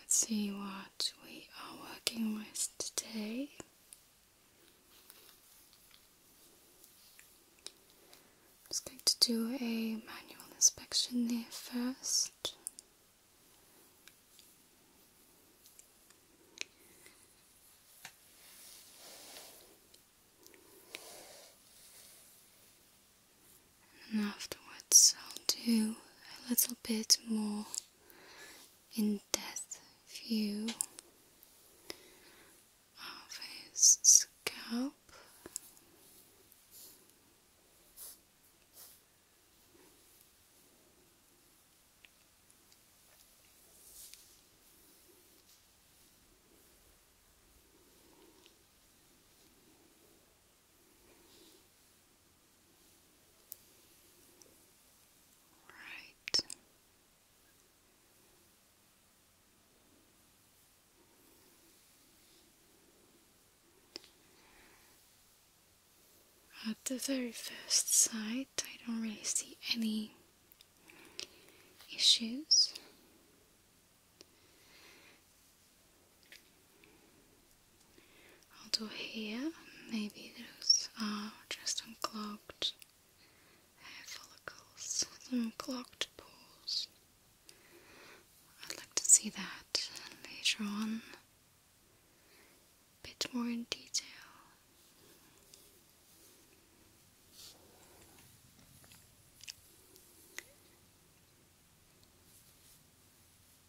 Let's see what we are working with today. I'm just going to do a manual inspection there first. And afterwards I'll do a little bit more in depth view of his scalp. Right. At the very first sight, I don't really see any issues. Although here, maybe those are uh, just unclogged hair follicles, unclogged pores. I'd like to see that later on, bit more in detail.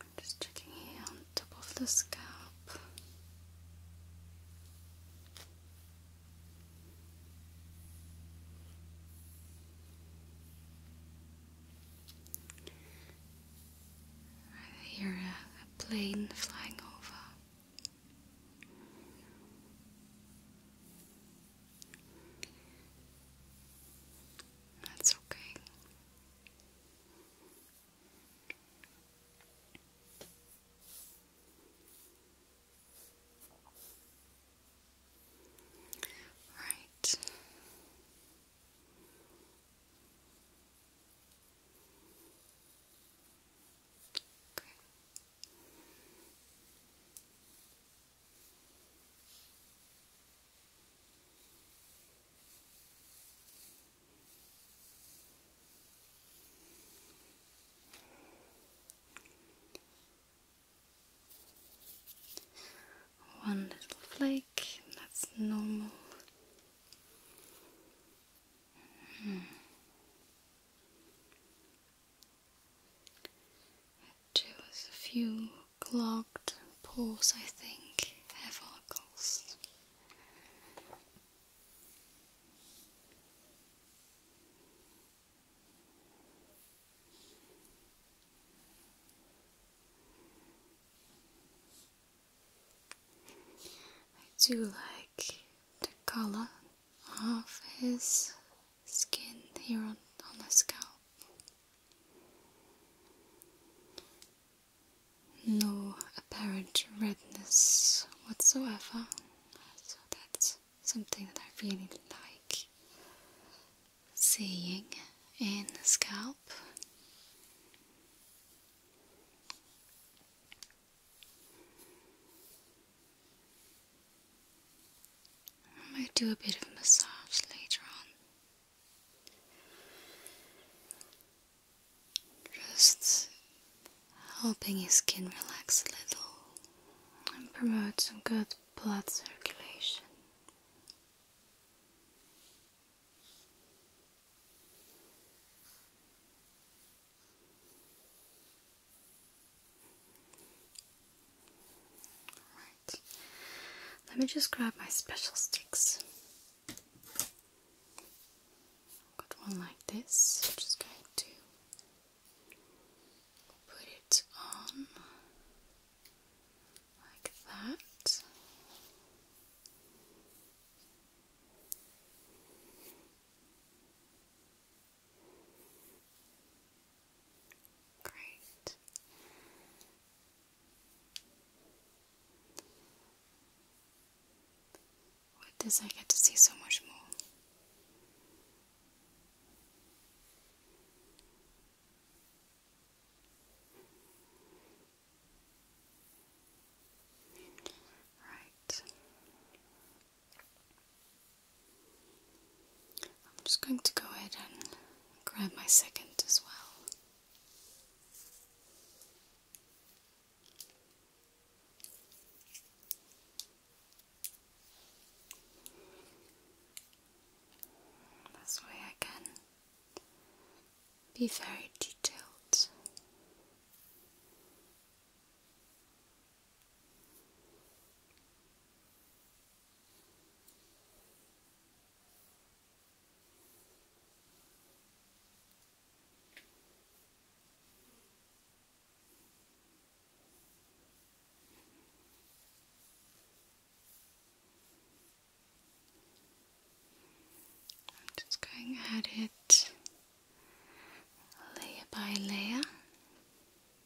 I'm just checking here on top of the scalp. I hear a plane flying over. That's okay. Right. Okay. One little flake, that's normal. Mm. Just a few clogged pores, I think, hair follicles. I do like the color of his skin here on, on the scalp. No apparent redness whatsoever, so that's something that I really like seeing in the scalp. I might do a bit of massage later on. Just helping your skin relax a little and promote some good blood circulation. Let me just grab my special sticks. Got one like this. just going to put it on like that. Great. With this, I get to see so much more. Right. I'm just going to go ahead and grab my second as well. This way I can be very detailed. I'm just going at it layer by layer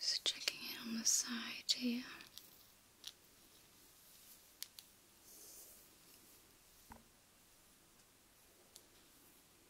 Just checking it on the side here.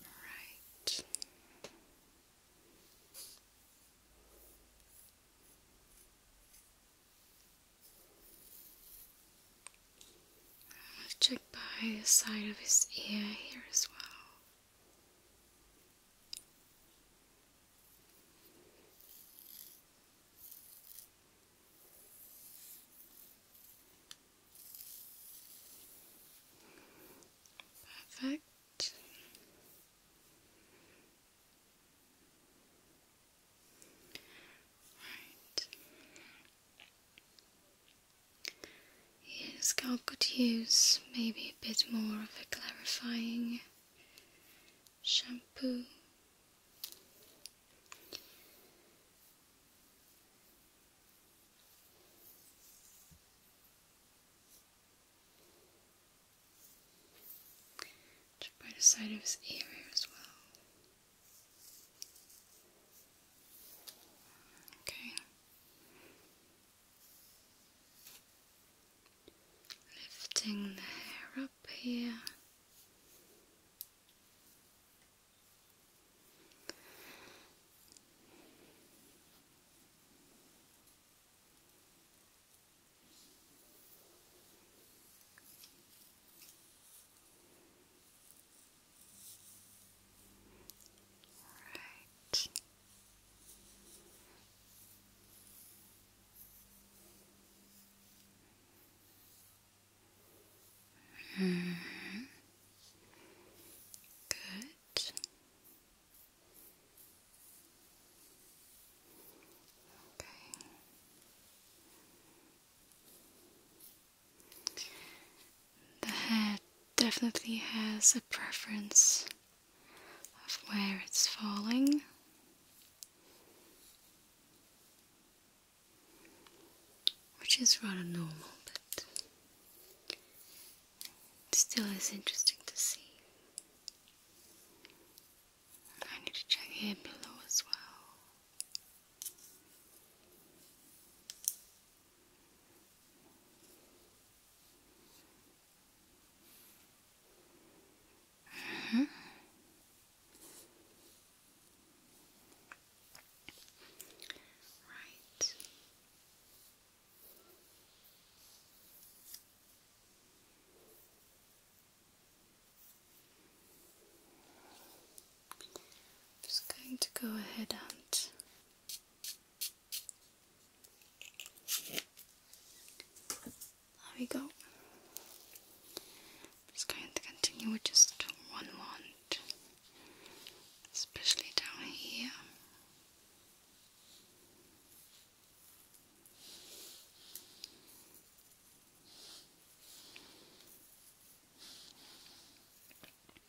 Right. I'll check by the side of his ear here as well. Perfect. Right. Your scalp could use maybe a bit more of a clarifying shampoo. by the side of his ear as well. Okay. Lifting the hair up here. Right. Mm -hmm. Good. Okay the hair definitely has a preference of where it's falling. Which is rather normal, but still is interesting to see. I need to check here below as well. Right. I'm just going to go ahead and there we go. just going to continue with just one wand, especially down here.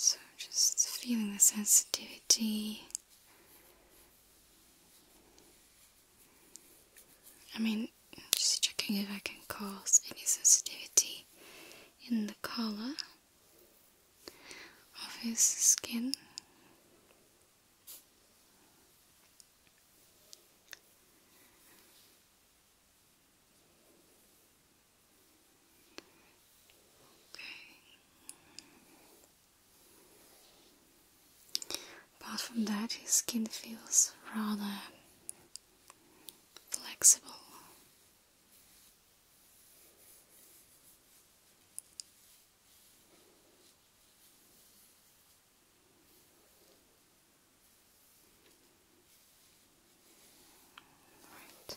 So, just feeling the sensitivity I mean, just checking if I can cause any sensitivity in the color of his skin. Okay. Apart from that, his skin feels rather flexible. Right.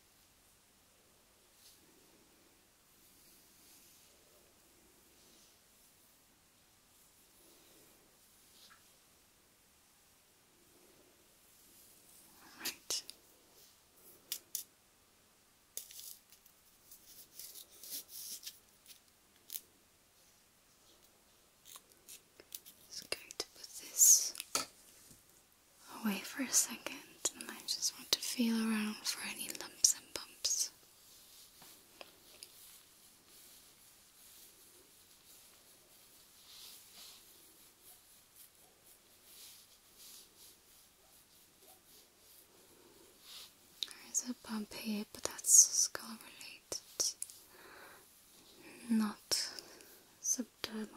All right. Just going to put this away for a second, and I just want to feel around for any lumps and bumps. There is a bump here, but that's skull related, not subdermal.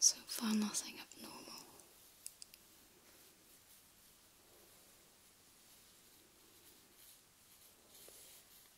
so far, nothing abnormal.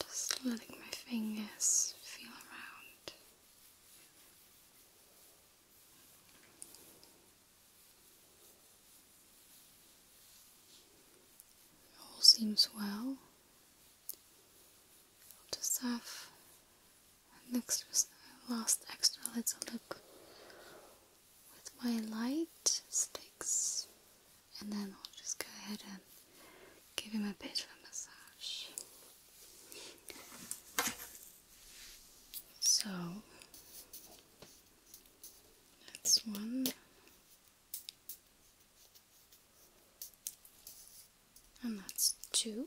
Just letting my fingers feel around. All seems well. I'll just have next last extra little look with my light sticks and then I'll just go ahead and give him a bit of a massage. So that's one. And that's two.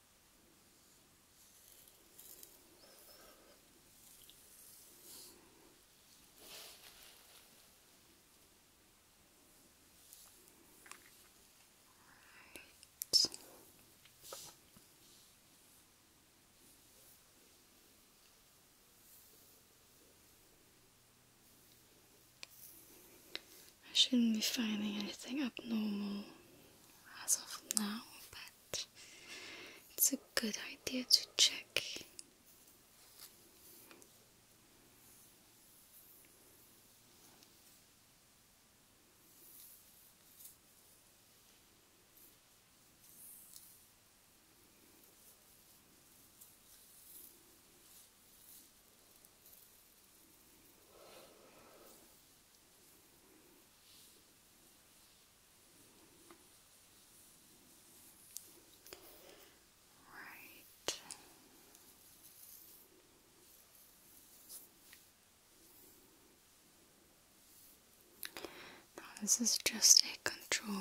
I shouldn't be finding anything abnormal as of now, but it's a good idea to check. Right. this is just a control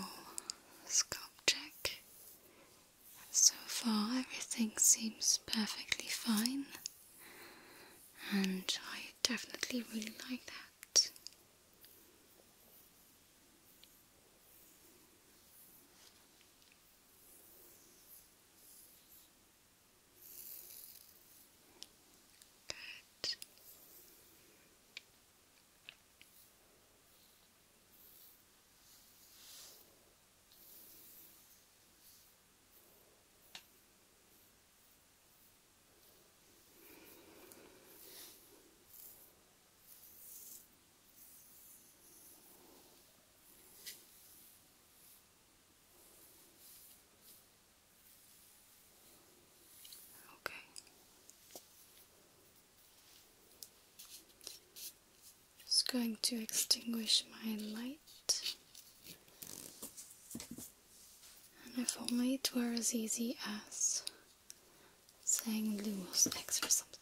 scalp check. So far, everything seems perfectly fine and I definitely really like that. Good. Okay. Just going to extinguish my light. And if only it were as easy as saying Lumos X or something.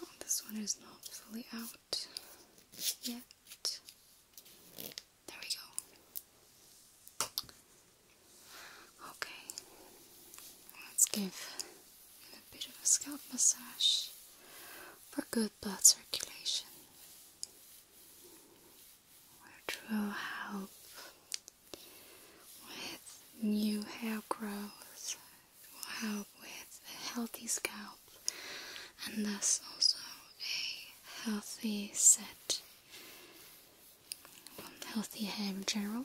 Oh, this one is not fully out yet. There we go. Okay, let's give him a bit of a scalp massage for good blood circulation, will help with new hair growth, will help with a healthy scalp, and thus also a healthy set, healthy hair in general.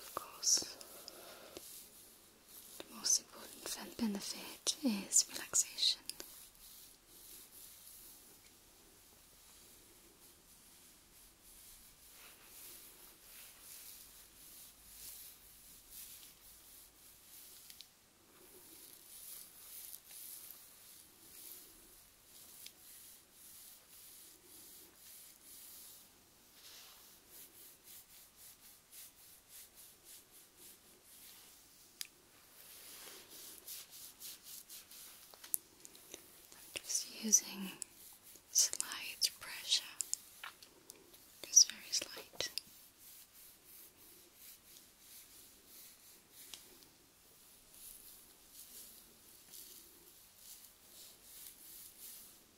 Of course, the most important benefit is relaxation. I'm just using slight pressure, just very slight.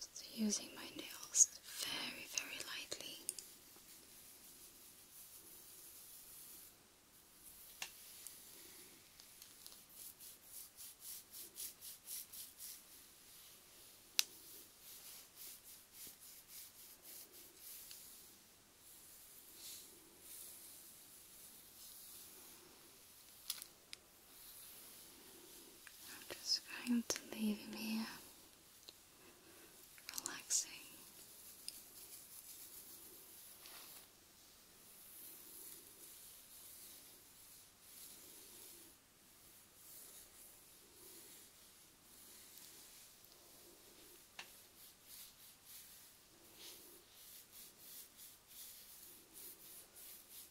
Just using my nails very, very lightly. I'm just going to leave him here, relaxing.